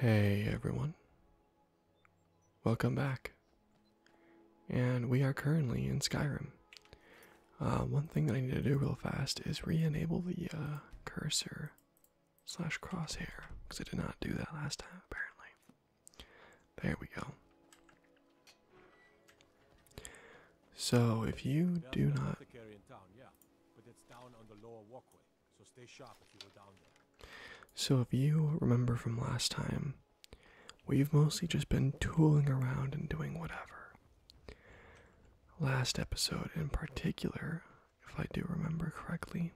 Hey everyone. Welcome back. And we are currently in Skyrim. Uh, one thing that I need to do real fast is re-enable the uh, cursor slash crosshair because I did not do that last time apparently. There we go. So if you do not So if you remember from last time, we've mostly just been tooling around and doing whatever. Last episode in particular, if I do remember correctly,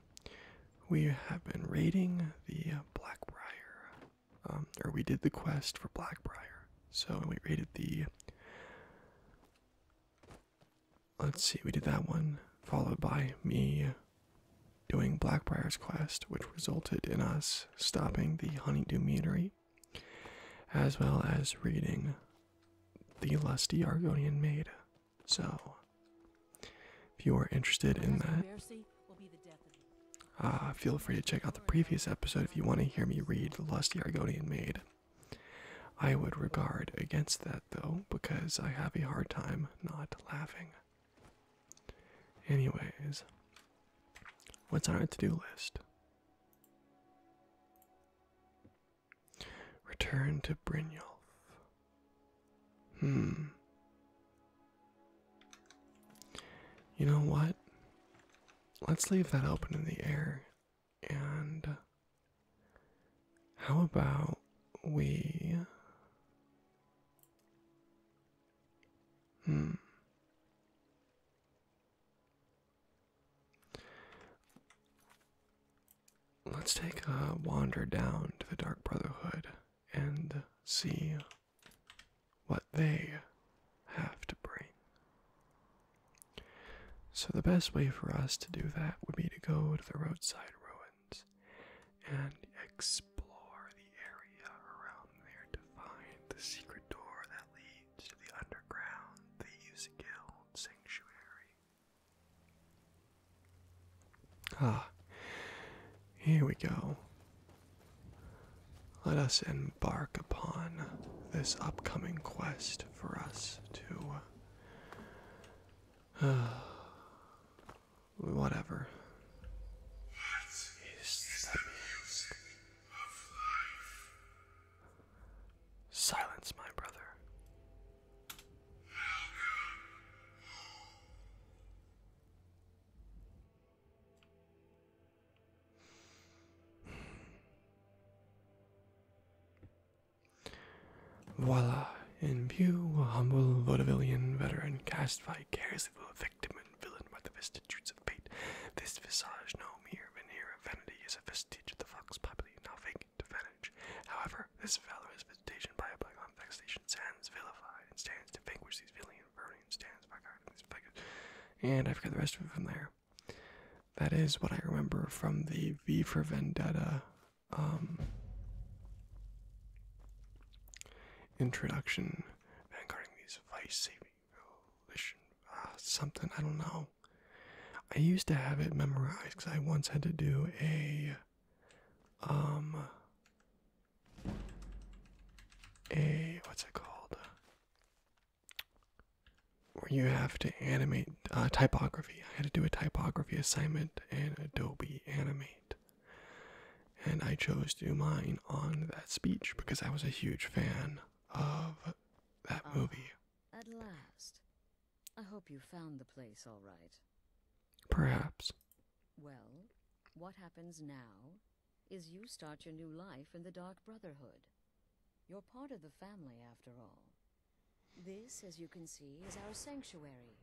we have been raiding the Blackbriar. Um, or we did the quest for Blackbriar. So we rated the. Let's see, we did that one, followed by me doing Blackbriar's Quest, which resulted in us stopping the Honeydew Meadery, as well as reading The Lusty Argonian Maid. So, if you are interested in that, uh, feel free to check out the previous episode if you want to hear me read The Lusty Argonian Maid. I would regard against that though, because I have a hard time not laughing. Anyways, what's on our to do list? Return to Brynjolf. Hmm. You know what? let's leave that open in the air. And how about we. Hmm. Let's take a wander down to the Dark Brotherhood and see what they have to bring. So, the best way for us to do that would be to go to the roadside ruins and explore the area around there to find the secret door that leads to the underground, the Useguild Sanctuary. Ah, here we go. Let us embark upon this upcoming quest for us to. Uh, whatever. Silence, my brother. Voila, in view, a humble vaudevillian veteran cast vicariously a victim and villain by the vicissitudes of fate. This visage, no mere veneer of vanity, is a vestige of the fox property, now vacant to vantage. However, this valorous visitation by a bygone vexation stands vilified and stands to vanquish these villain vermin, stands by guarding these figures. And I forget the rest of it from there. That is what I remember from the V for Vendetta um, introduction. Vanguarding these vice-saving coalition, uh, something I don't know. I used to have it memorized because I once had to do a um, a what's it called where you have to animate uh, typography. I had to do a typography assignment in Adobe Animate, and I chose to do mine on that speech because I was a huge fan of that oh, movie. At last, I hope you found the place all right. Perhaps. Well, what happens now is you start your new life in the Dark Brotherhood. You're part of the family, after all. This, as you can see, is our sanctuary.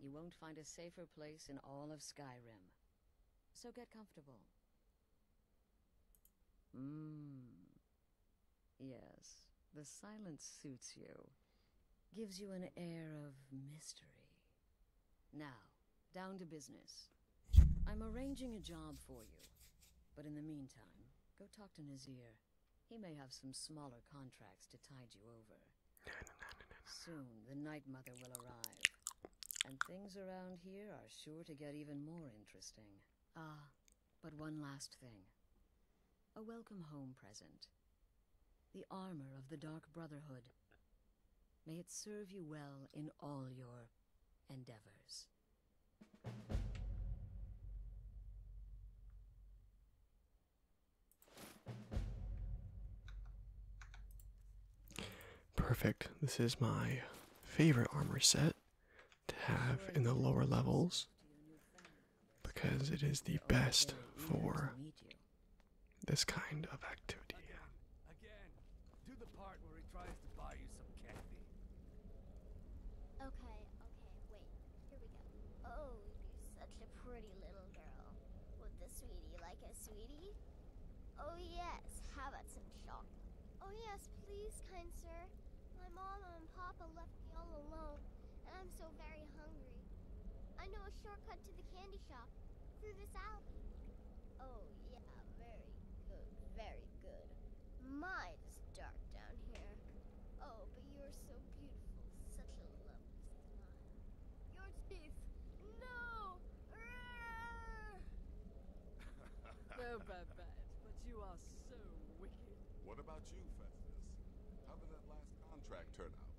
You won't find a safer place in all of Skyrim. So get comfortable. Mmm. Yes, the silence suits you. Gives you an air of mystery. Now, down to business. I'm arranging a job for you. But in the meantime, go talk to Nazir. He may have some smaller contracts to tide you over. Soon, the Night Mother will arrive. And things around here are sure to get even more interesting. Ah, but one last thing. A welcome home present. The armor of the Dark Brotherhood. May it serve you well in all your endeavors. Perfect. This is my favorite armor set to have in the lower levels because it is the best for this kind of activity. Do the part where he tries to buy you some candy. Okay, okay, wait. Here we go. Oh, you such a pretty little girl. Would the sweetie like a sweetie? Oh yes, how about some chocolate? Oh yes, please, kind sir. My mama and papa left me all alone, and I'm so very hungry. I know a shortcut to the candy shop, through this alley. Oh, yeah, very good, very good. Mine is dark down here. Oh, but you're so beautiful, such a lovely smile. Your teeth! No! no, Babette, but you are so wicked. What about you, Festus? How did that last contract turn out?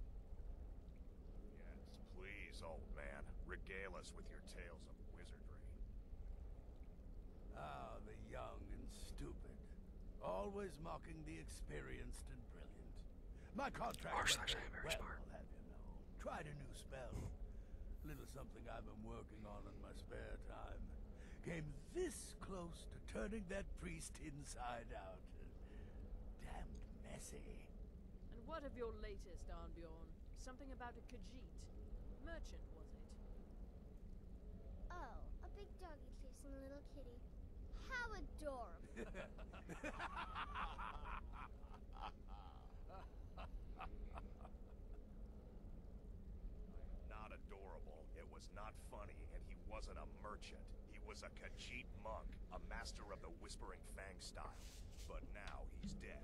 Yes, please, old man. Regale us with your tale tales of wizardry. Ah, the young and stupid. Always mocking the experienced and brilliant. My contract... R slash I am very well, smart. I'll have you know. Tried a new spell. Little something I've been working on in my spare time. Came this close to turning that priest inside out. Damned messy. And what of your latest, Arnbjorn? Something about a Khajiit. Merchant, was it? Oh, a big doggy chasing a little kitty. How adorable! not adorable, it was not funny, and he wasn't a merchant. He was a Khajiit monk, a master of the Whispering Fang style. But now he's dead.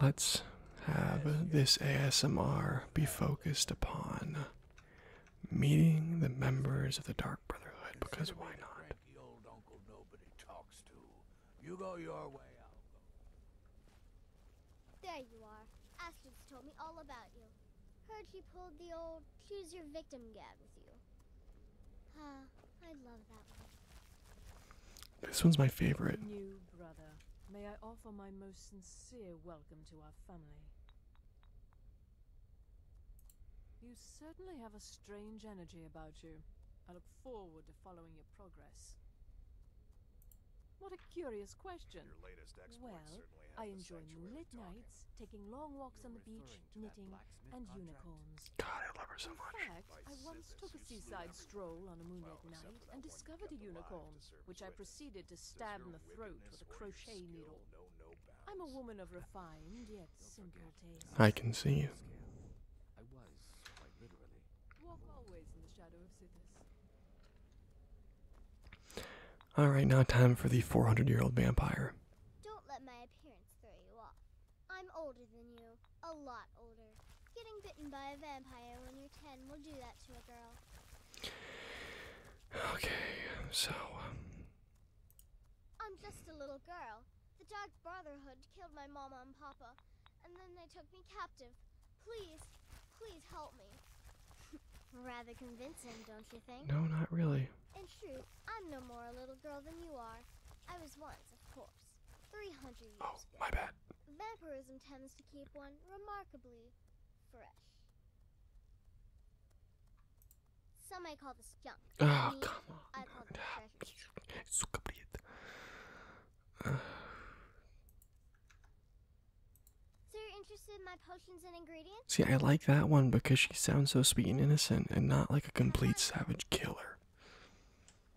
Let's have this ASMR be focused upon meeting the members of the Dark Brotherhood because why not? There you are. Astrid's told me all about you. Heard you pulled the old choose your victim gag with you. Huh. This one's my favorite. New brother, may I offer my most sincere welcome to our family. You certainly have a strange energy about you. I look forward to following your progress. What a curious question. well, I enjoy moonlit nights, taking long walks on the beach, knitting, and unicorns. God, I love her so In Fact, I once took a seaside stroll on a moonlit night and discovered a unicorn, which I proceeded to stab in the throat with a crochet needle. I'm a woman of refined yet simple taste. I can see you. All right, now time for the 400-year-old vampire. Don't let my appearance throw you off. I'm older than you. A lot older. Getting bitten by a vampire when you're 10 will do that to a girl. Okay, so. Um, I'm just a little girl. The Dark Brotherhood killed my mama and papa, and then they took me captive. Please, please help me. Rather convincing, don't you think? No, not really. In truth, I'm no more a little girl than you are. I was once, of course. Oh, my bad. Vampirism tends to keep one remarkably fresh. Some may call this junk. Oh, come on. Ah, so you're interested in my potions and ingredients? See, I like that one because she sounds so sweet and innocent and not like a complete savage killer.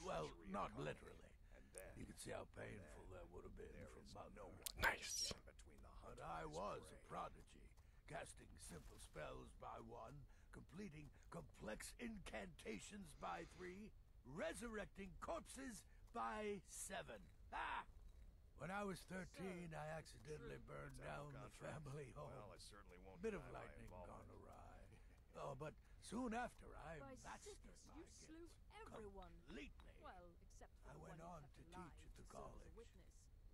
Well, not literally. You can see how painful that would have been from my no Nice. I was a prodigy, casting simple spells by one, completing complex incantations by three, resurrecting corpses by seven. Ah! When I was 13, I accidentally burned down the family home. Well, Bit of lightning gone awry. Oh, but soon after I By mastered my you slew everyone. Completely. Well, except for I went on to teach at the college.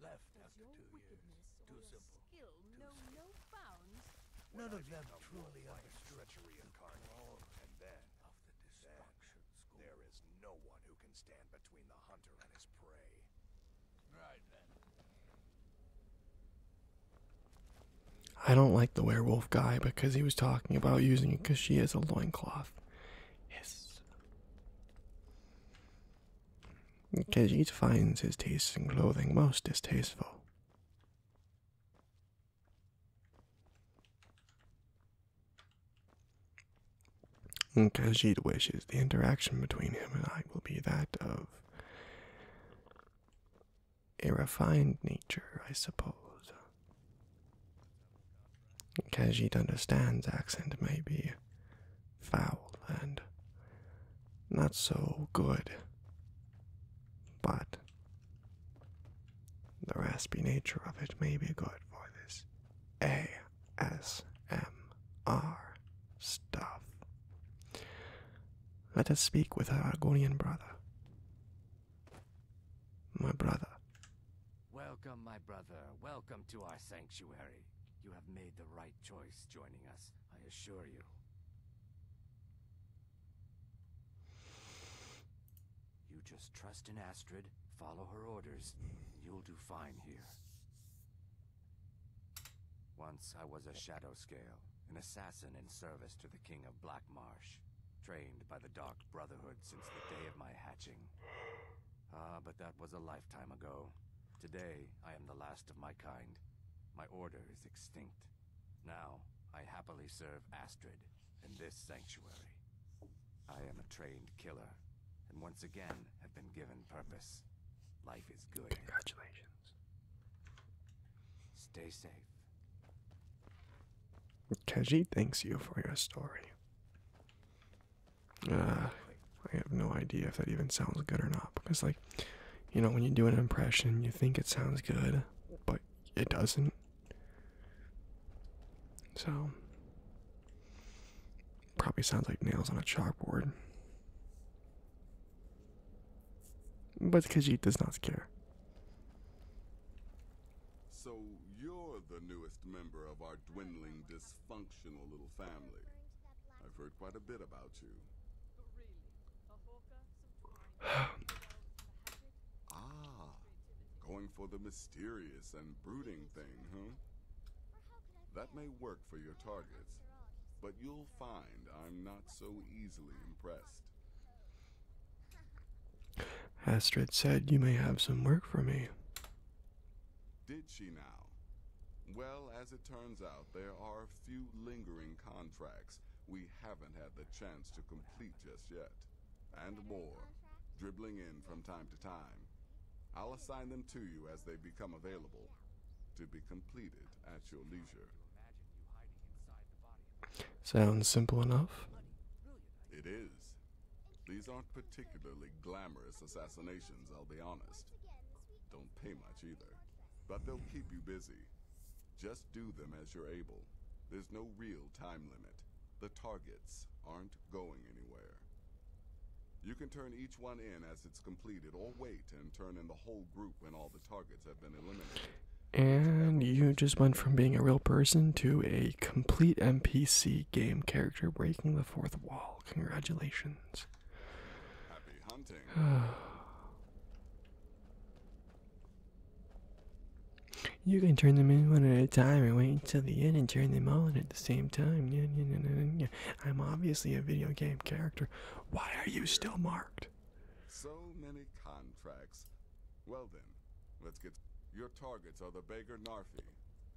Left Does after two years. Too simple. Skill Too know simple. no bounds. None of them truly understood treachery incarnate. Oh, and then of the destruction school. There is no one who can stand between the hunter and his prey. Right then. I don't like the werewolf guy because he was talking about using it because she has a loincloth. Yes. Because each finds his tastes in clothing most distasteful. Khajiit wishes the interaction between him and I will be that of a refined nature, I suppose. Khajiit understands accent may be foul and not so good, but the raspy nature of it may be good for this ASMR stuff. Let us speak with our Argonian brother my brother. Welcome, my brother. Welcome to our sanctuary. You have made the right choice joining us, I assure you. You just trust in Astrid, follow her orders, you'll do fine here. Once I was a shadow scale, an assassin in service to the King of Black Marsh, trained by the Dark Brotherhood since the day of my hatching. Ah, but that was a lifetime ago. Today, I am the last of my kind. My order is extinct. Now, I happily serve Astrid in this sanctuary. I am a trained killer, and once again have been given purpose. Life is good. Congratulations. Stay safe. Kaji thanks you for your story. Uh, I have no idea if that even sounds good or not because, like, you know, when you do an impression, you think it sounds good, but it doesn't. So, probably sounds like nails on a chalkboard. But Khajiit does not care. So you're the newest member of our dwindling, dysfunctional little family. I've heard quite a bit about you. ah, going for the mysterious and brooding thing, huh? That may work for your targets, but you'll find I'm not so easily impressed. Astrid said you may have some work for me. Did she now? Well, as it turns out, there are a few lingering contracts we haven't had the chance to complete just yet. And more, dribbling in from time to time. I'll assign them to you as they become available, to be completed at your leisure. Sounds simple enough. It is. These aren't particularly glamorous assassinations, I'll be honest. Don't pay much either, but they'll keep you busy. Just do them as you're able. There's no real time limit. The targets aren't going anywhere. You can turn each one in as it's completed, or wait and turn in the whole group when all and you just went from being a real person to a complete NPC game character breaking the fourth wall. Congratulations. Happy hunting. you can turn them in one at a time and wait until the end and turn them all in at the same time. I'm obviously a video game character. Why are you still marked? So many contracts. Well then, let's get... Your targets are the beggar Narfi,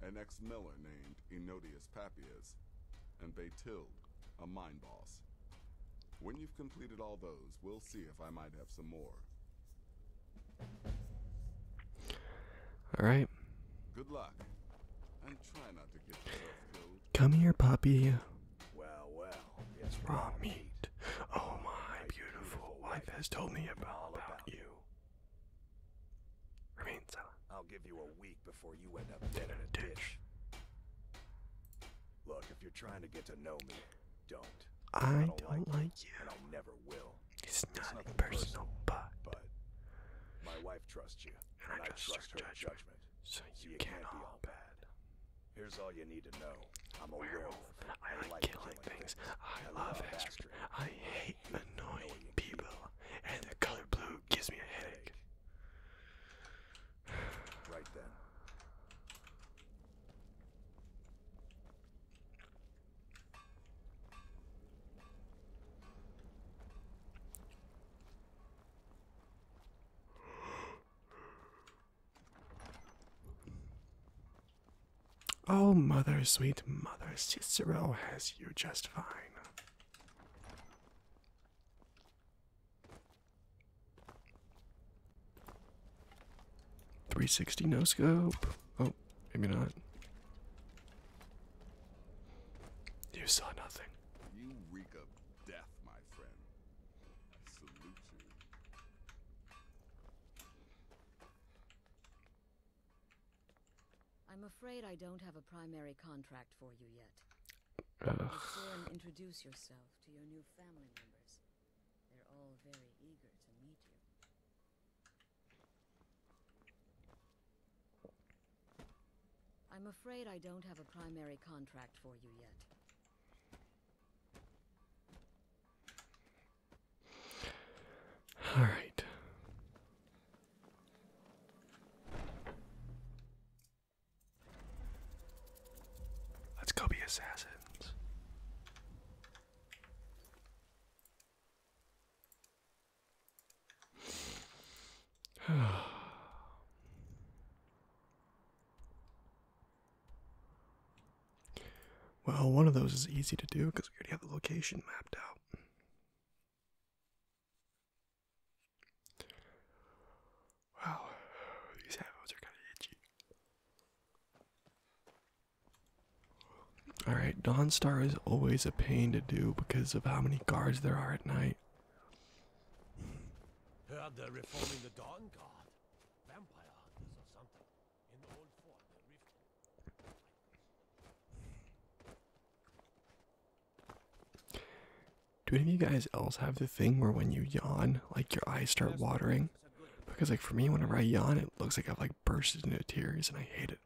an ex-miller named Enodius Papias, and Baytild, a mine boss. When you've completed all those, we'll see if I might have some more. Alright. Good luck. And try not to get killed. Come here, puppy. Well, well. Yes, raw meat. Oh, my beautiful wife has told me about, you. Remain silent. I'll give you a week before you end up dead in a ditch. Look, if you're trying to get to know me, don't. I, don't, like, you. And I never will. It's, not personal, but, my wife trusts you, and, I, trust, her, judgment. So you, can't be all bad. Here's all you need to know. I'm a werewolf. I, like killing, killing things. I, I love history. I hate annoying people. And the color blue gives me a headache. Right then. Oh, mother, sweet mother, Cicero has you just fine. Three sixty no scope. Oh, maybe not. You saw nothing. You reek of death, my friend. I am afraid I don't have a primary contract for you yet. Before introduce yourself to your new family members. They're all very eager to meet you. I'm afraid I don't have a primary contract for you yet. All right. Let's go be assassins. well, one of those is easy to do because we already have the location mapped out. Wow, these headphones are kind of itchy. Alright, Dawnstar is always a pain to do because of how many guards there are at night. Heard they're reforming the Dawn Guard. Vampire hunters or something. In the old fort, Do any of you guys else have the thing where when you yawn, like your eyes start watering? Because like for me, whenever I yawn, it looks like I've like burst into tears and I hate it.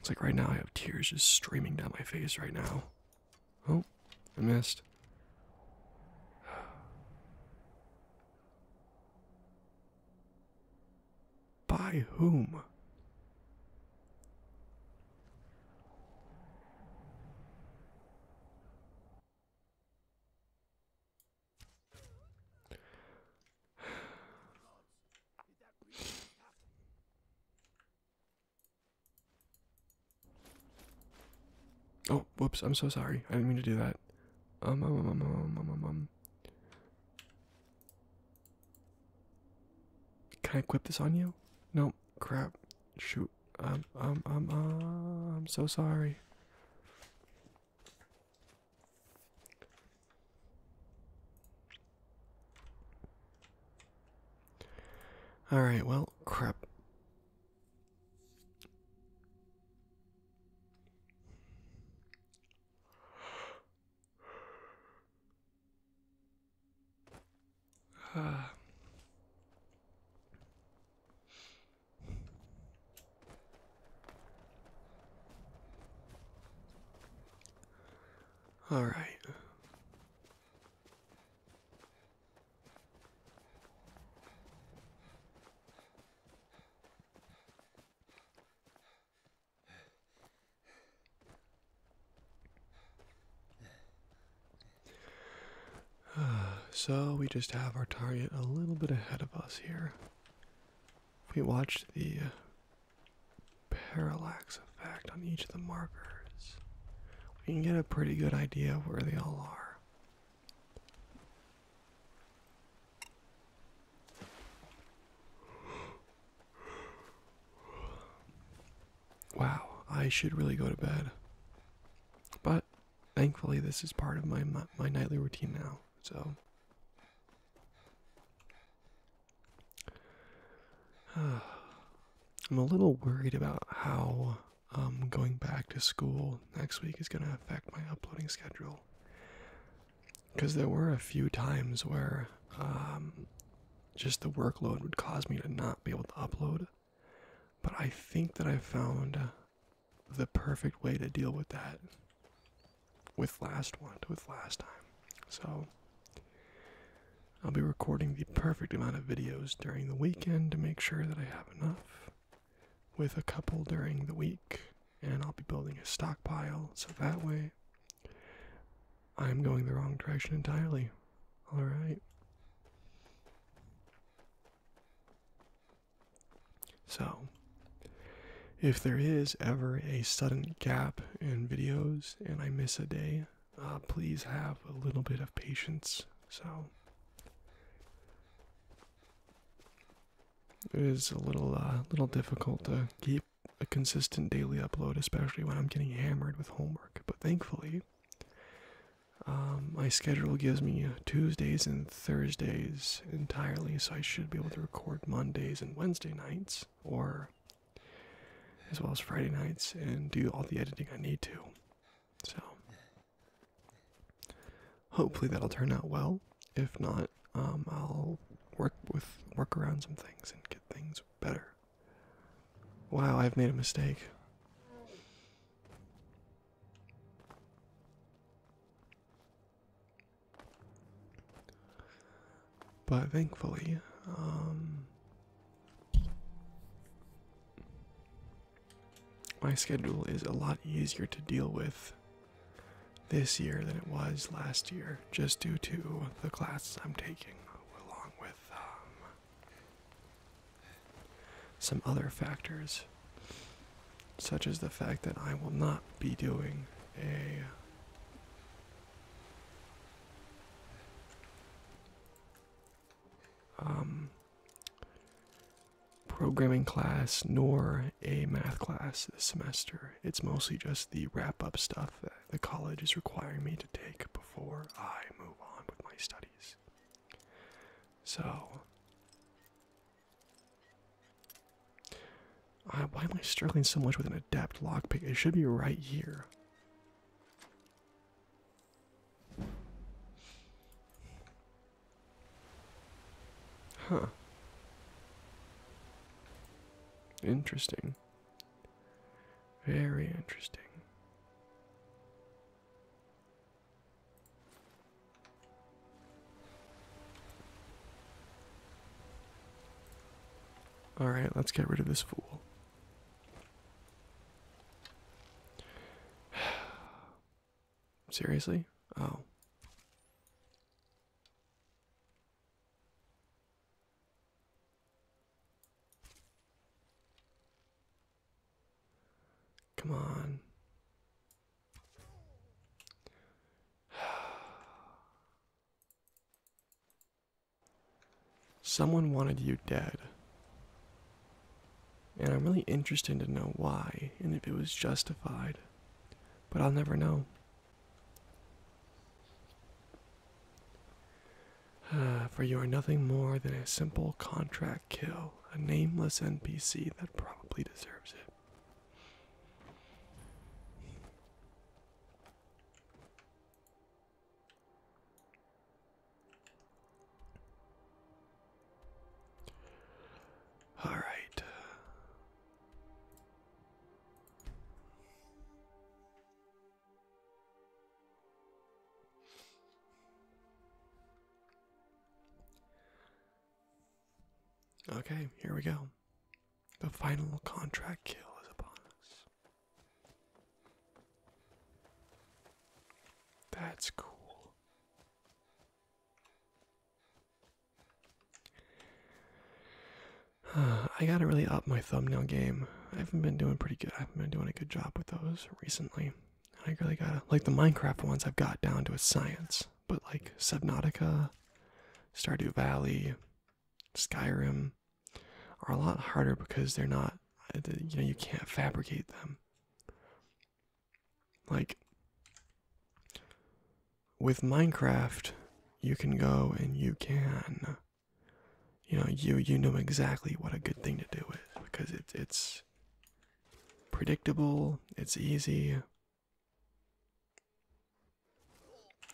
It's like right now I have tears just streaming down my face right now. Oh, I missed. By whom? Oh, whoops, I'm so sorry. I didn't mean to do that. Um, um, um, um, um, um, um. um, um. Can I equip this on you? Nope. crap. Shoot. Um, um, um, um, I'm so sorry. All right, well, crap. All right. So we just have our target a little bit ahead of us here. If we watch the uh, parallax effect on each of the markers, we can get a pretty good idea of where they all are. Wow, I should really go to bed. Bye thankfully, this is part of my my nightly routine now. So, I'm a little worried about how um, going back to school next week is going to affect my uploading schedule. Because there were a few times where um, just the workload would cause me to not be able to upload. But I think that I found the perfect way to deal with that with last one, with last time. So I'll be recording the perfect amount of videos during the weekend to make sure that I have enough, with a couple during the week, and I'll be building a stockpile so that way I'm going the wrong direction entirely. Alright. So, if there is ever a sudden gap in videos and I miss a day, uh, please have a little bit of patience. So, it is a little, uh, little difficult to keep a consistent daily upload, especially when I'm getting hammered with homework. But thankfully, um, my schedule gives me uh, Tuesdays and Thursdays entirely, so I should be able to record Mondays and Wednesday nights, or as well as Friday nights, and do all the editing I need to. So, hopefully that'll turn out well. If not, um, I'll work with work around some things and get things better. Wow, I've made a mistake. But thankfully, um, my schedule is a lot easier to deal with this year than it was last year, just due to the classes I'm taking, along with um, some other factors, such as the fact that I will not be doing a um, programming class nor a math class this semester. It's mostly just the wrap up stuff that the college is requiring me to take before I move on with my studies. So, why am I struggling so much with an adept lockpick? It should be right here. Huh. Interesting. Very interesting. All right, let's get rid of this fool. Seriously? Oh. Come on. Someone wanted you dead. And I'm really interested to know why and if it was justified. But I'll never know. for you are nothing more than a simple contract kill a nameless NPC that probably deserves it. All right. Okay, here we go. The final contract kill is upon us. That's cool. I gotta really up my thumbnail game. I haven't been doing pretty good. I haven't been doing a good job with those recently. I really gotta like the Minecraft ones I've got down to a science, but like Subnautica, Stardew Valley, Skyrim are a lot harder because they're not uh, you know you can't fabricate them. Like with Minecraft, you can go and you can you know you you know exactly what a good thing to do is because it's it's predictable, it's easy.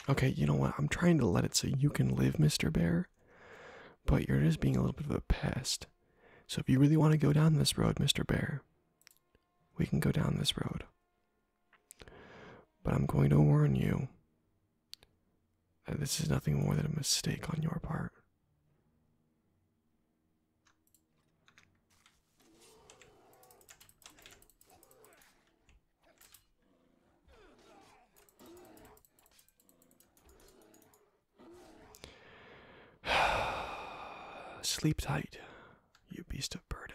Okay, you know what? I'm trying to let it so you can live, Mr. Bear, but you're just being a little bit of a pest. So if you really want to go down this road, Mr. Bear, we can go down this road. But I'm going to warn you that this is nothing more than a mistake on your part. Sleep tight, you beast of burden.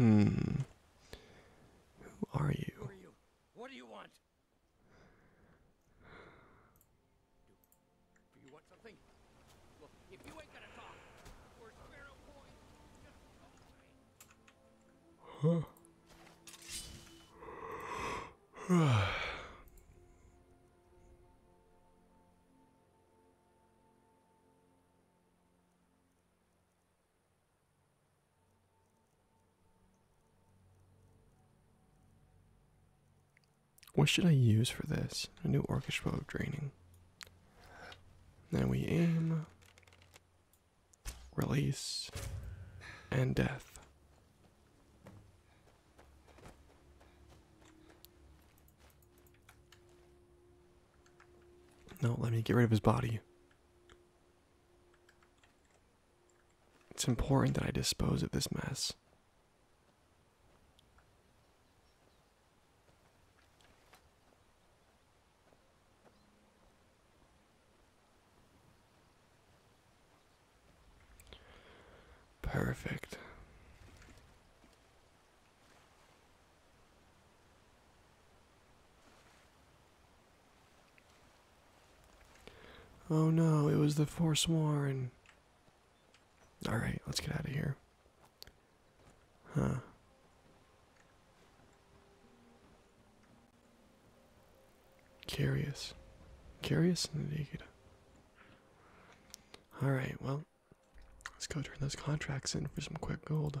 Hmm. Who are you? What do you want? Do you want something? if you ain't gonna talk, we're sparrow boys. Just go away what should I use for this? A new orcish bow of draining. Then we aim release, and death. No, let me get rid of his body. It's important that I dispose of this mess. Perfect. Oh no, it was the Forsworn. Alright, let's get out of here. Huh. Curious. Curious indeed. Alright, well, let's go turn those contracts in for some quick gold.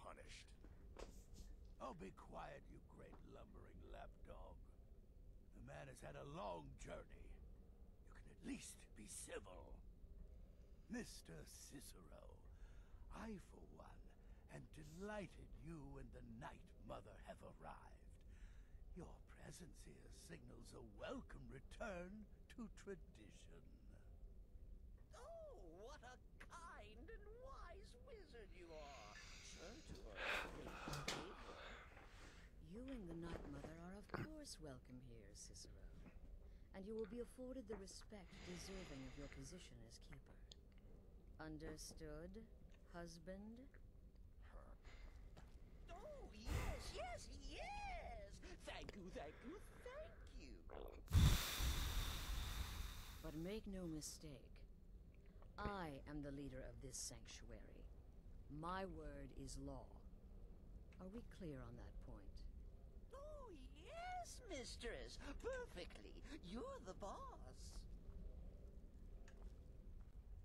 punished. Oh, be quiet, you great lumbering lapdog. The man has had a long journey. You can at least be civil. Mr. Cicero, I, for one, am delighted you and the Night Mother have arrived. Your presence here signals a welcome return to tradition. Oh, what a kind and wise wizard you are. You and the Night Mother are of course welcome here, Cicero. And you will be afforded the respect deserving of your position as keeper. Understood, husband? Oh, yes, yes, yes! Thank you, thank you, thank you! But make no mistake. I am the leader of this sanctuary. My word is law. Are we clear on that point? Oh, yes, mistress. Perfectly. You're the boss.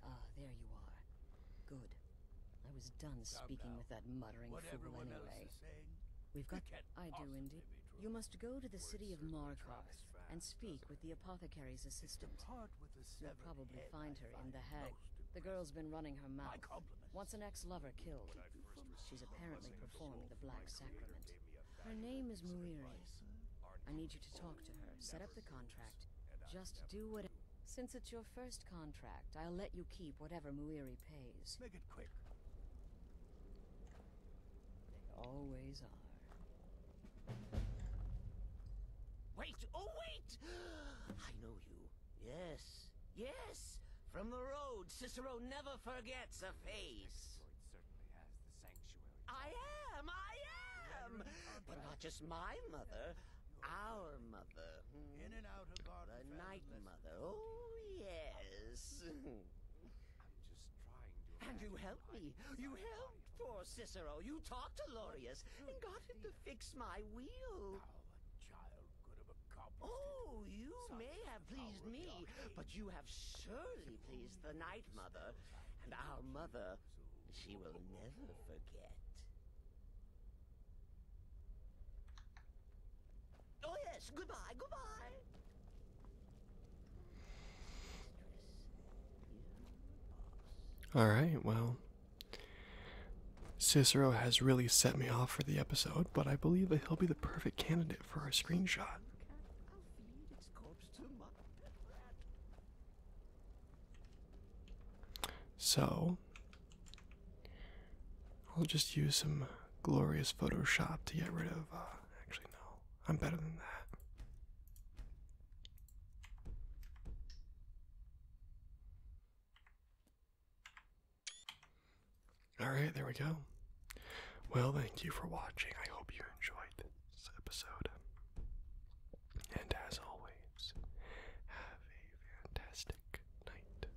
Ah, there you are. Good. I was done speaking with that muttering fool anyway. We've got... I do indeed. You must go to the city of Markarth and speak with the apothecary's assistant. You'll probably find her in The Hague. The girl's been running her mouth. Wants an ex-lover killed. She's apparently performing the Black Sacrament. Her name is Muiri. I need you to talk to her, set up the contract. Just do what... Since it's your first contract, I'll let you keep whatever Muiri pays. Make it quick. They always are. Wait! Oh, wait! I know you. Yes. Yes! From the road, Cicero never forgets a face. I am! I am! But not just my mother, our mother. Hmm. In and out of our The night mother. Oh, yes. I'm just trying to... And you helped me. You helped poor Cicero. You talked to Laureus and got him to fix my wheel. Oh, you may have pleased me, but you have surely pleased the Night Mother. And our mother, she will never forget. Oh yes, goodbye, goodbye. All right, well, Cicero has really set me off for the episode, but I believe that he'll be the perfect candidate for our screenshot. So, i will just use some glorious Photoshop to get rid of. Uh, actually, no, I'm better than that. Alright, there we go. Well, thank you for watching. I hope you enjoyed this episode. And as always, have a fantastic night.